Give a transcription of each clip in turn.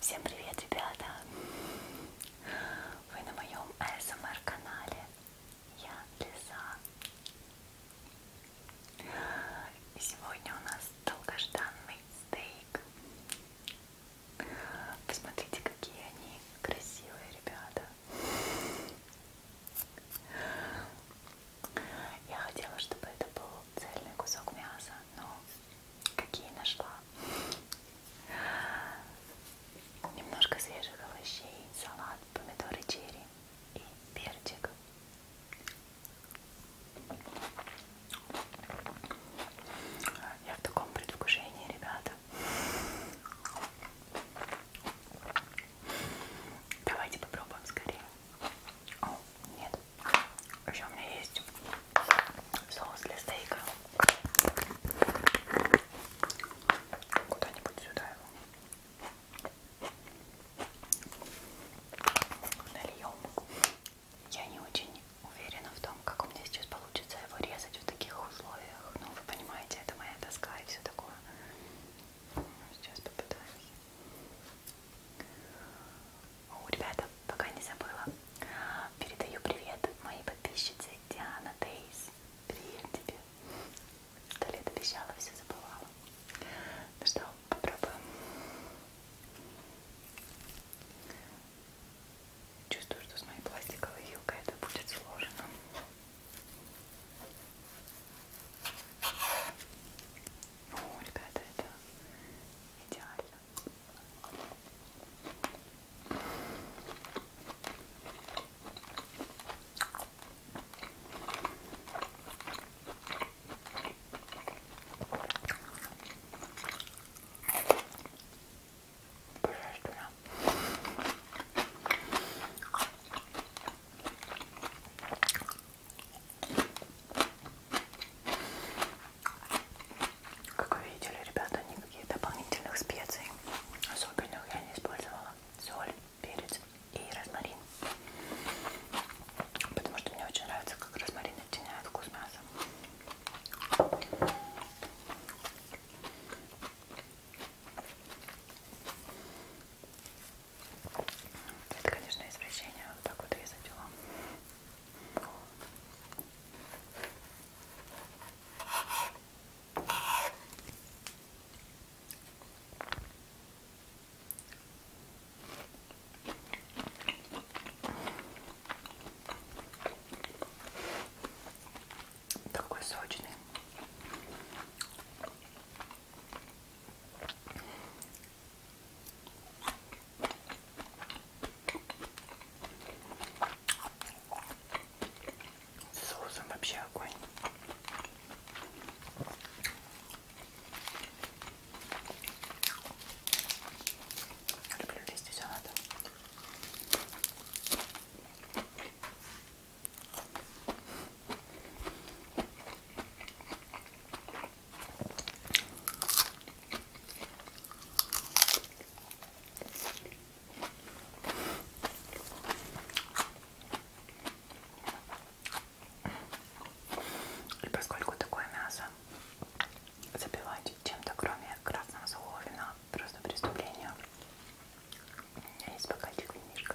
Всем привет, ребята! Вы на моем ASMR эм канале. Я Лиза. И сегодня у нас долгожданный стейк. Посмотрите, какие они красивые, ребята. Я хотела, чтобы это был цельный кусок мяса, но какие нашла. Немножко свежих овощей, салат, помидоры черри и перчик. Я в таком предвкушении, ребята. Давайте попробуем скорее. О, нет. Еще у меня есть соус для стейка. Куда-нибудь сюда его. Нальем. Я не очень уверена в том, как у меня сейчас получится его резать в таких условиях. Ну, вы понимаете, это моя тоска и все такое. Сейчас попытаюсь. О, ребята, пока не забыла, передаю привет моей подписчице Диана Дейс. Привет тебе. Сто лет обещала, все забывала. Ну что, попробуем. Чувствую, что с моей пластиковой вилкой это будет сложно. О, ну, ребята, это идеально. Божественно. Как вы видели, ребята, никаких дополнительных специй особенных я не использовала. Соль, перец и розмарин. Потому что мне очень нравится, как розмарин оттеняет вкус мяса. Это, конечно, извращение вот так вот резать его. Такой сочный. С соусом вообще огонь. Люблю листья салата. И поскольку такое мясо забивать чем-то, кроме красного сухого вина, просто преступление. У меня есть бокальчик винишка.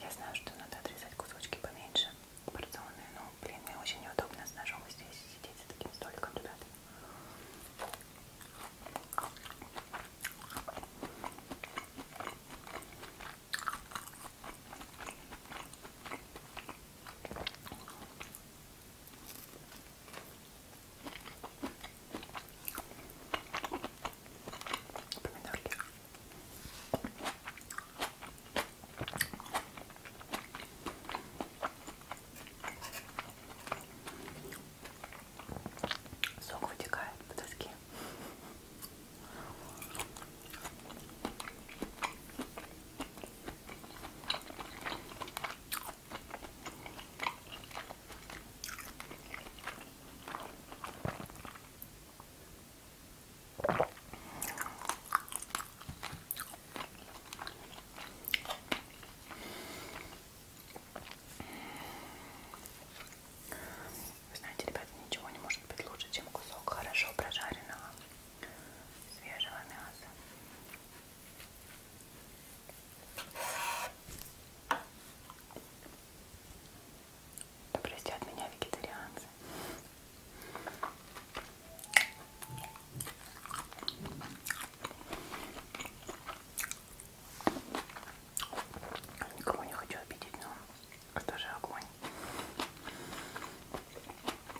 Я знаю, что надо отрезать кусочки поменьше, порционные, но, блин, мне очень неудобно с ножом здесь сидеть за таким столиком, ребят. Помидорки. Сок вытекает по доске. Вы знаете, ребята, ничего не может быть лучше, чем кусок хорошо прожаренного свежего мяса. Да простят меня вегетарианцы. Никого не хочу обидеть, но это же огонь.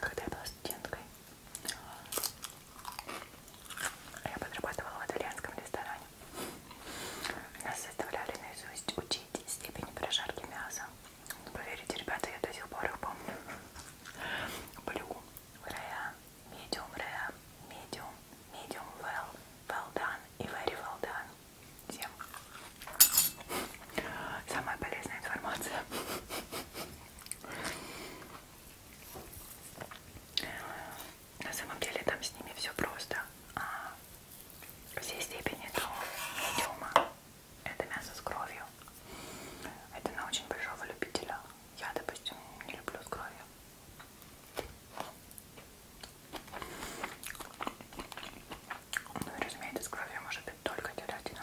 Когда я была студенткой, а, я подрабатывала в итальянском ресторане. Нас заставляли наизусть учить степени прожарки мяса. Ну, поверите, ребята, я до сих пор их помню. Блю, rare, medium rare, medium, medium well, well done и very well done всем. Самая полезная информация. На самом деле там с ними все просто. А все степени до медиума. Это мясо с кровью. Это на очень большого любителя. Я, допустим, не люблю с кровью. Ну и разумеется, с кровью может быть только телятина.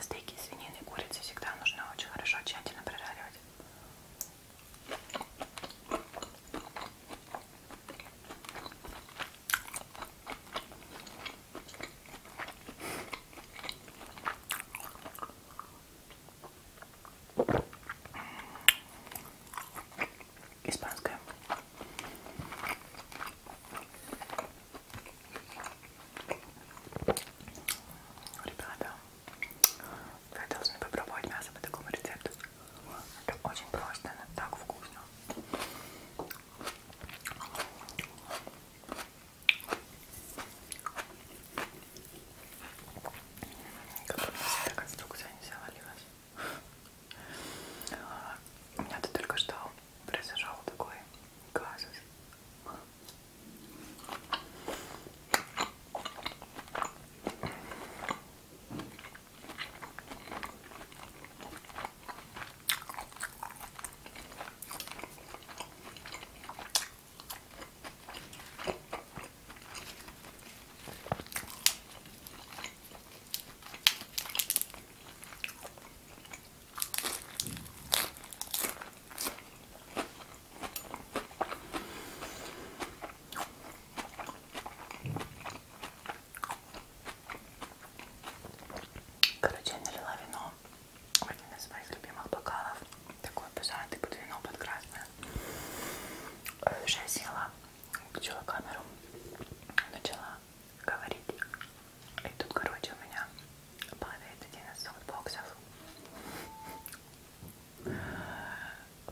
Стейки свинины и курицы всегда нужно очень хорошо тщательно прожаривать. Испанская. Ребята, вы должны попробовать мясо по такому рецепту. Это очень просто, но так вкусно. Как у нас эта конструкция не завалилась. У меня-то только что произошел такой казус. Короче, я налила вино в один из моих любимых бокалов такой пузатый под вино, под красное. Э, уже села, включила камеру, начала говорить. И тут, короче, у меня падает один из софтбоксов.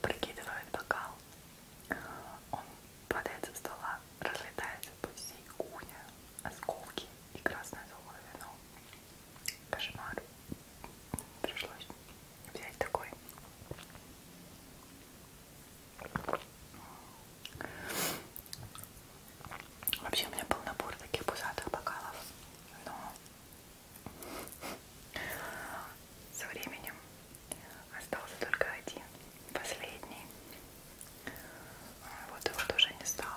Прикидывает бокал. Он падает со стола, разлетается по всей кухне осколки и красное золотое вино. Кошмар. Пришлось взять такой. Вообще у меня был набор таких пузатых бокалов, но со временем остался только один, последний. Вот его тоже не стало.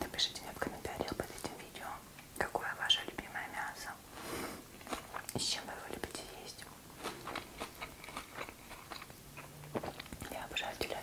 Напишите мне в комментариях под этим видео, какое ваше любимое мясо, и с чем вы его любите есть. Я обожаю телятину.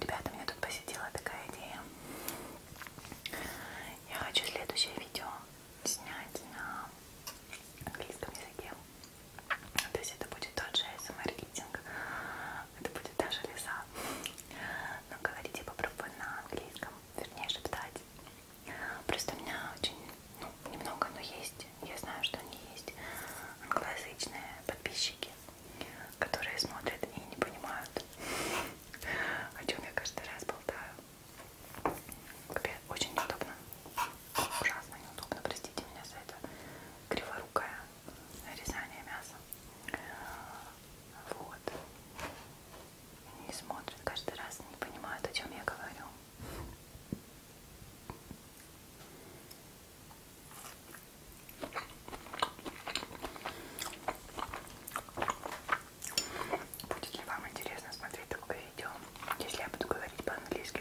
Ребята, меня тут посетила такая идея. Я хочу следующее видео снять на английском языке. То есть это будет тот же ASMR-рейтинг. Эм это будет даже леса. Но говорить я попробую на английском. Вернее, шептать. Просто у меня очень, ну, немного, но есть я знаю, что они есть англоязычные подписчики, которые смотрят и не понимают, о чем я каждый раз болтаю. Капец, очень неудобно. Ужасно неудобно, простите меня за это криворукое резание мяса. Вот. Не смотрят каждый раз, не понимают, о чем я говорю. Будет ли вам интересно смотреть такое видео, если я буду говорить по-английски?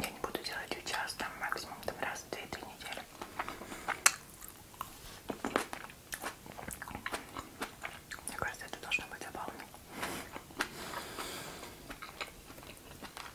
Я не буду делать ее часто, максимум там раз в 2-3 недели. Мне кажется, это должно быть забавно.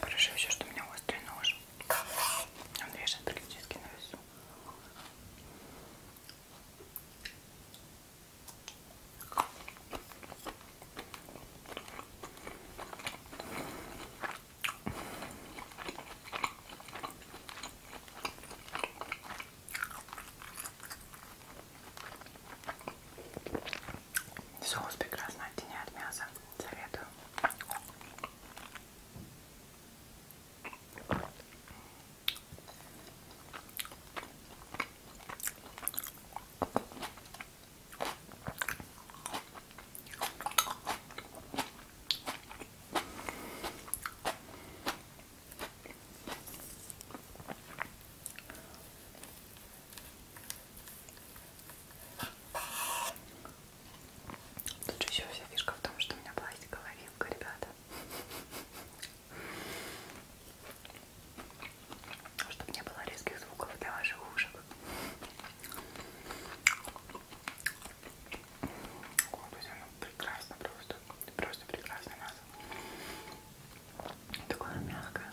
Хорошо еще, что у меня острый нож. Он режет практически на весу. Соус прекрасно оттеняет мясо. Советую. Тут же еще вся фишка в том, что у меня пластиковая вилка, ребята. Чтобы не было резких звуков для ваших ушек. Вот, то есть оно прекрасно просто, просто прекрасно мясо. Такое мягкое.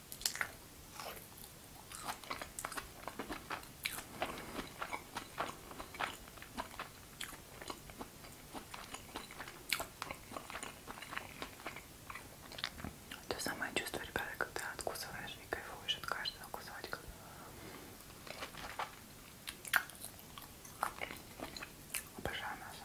То самое чувство, ребята, когда откусываешь и кайфуешь от каждого кусочка. Обожаю мясо.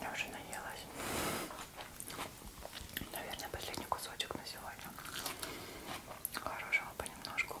Я уже наелась. Наверное, последний кусочек на сегодня. Хорошего понемножку.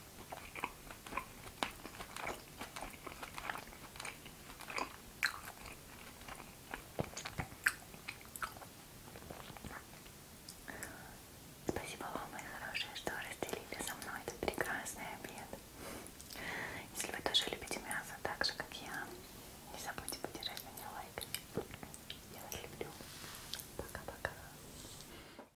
Спасибо вам, мои хорошие, что разделили со мной этот прекрасный обед. Если вы тоже любите мясо так же, как я, не забудьте поддержать меня лайками. Я вас люблю. Пока-пока.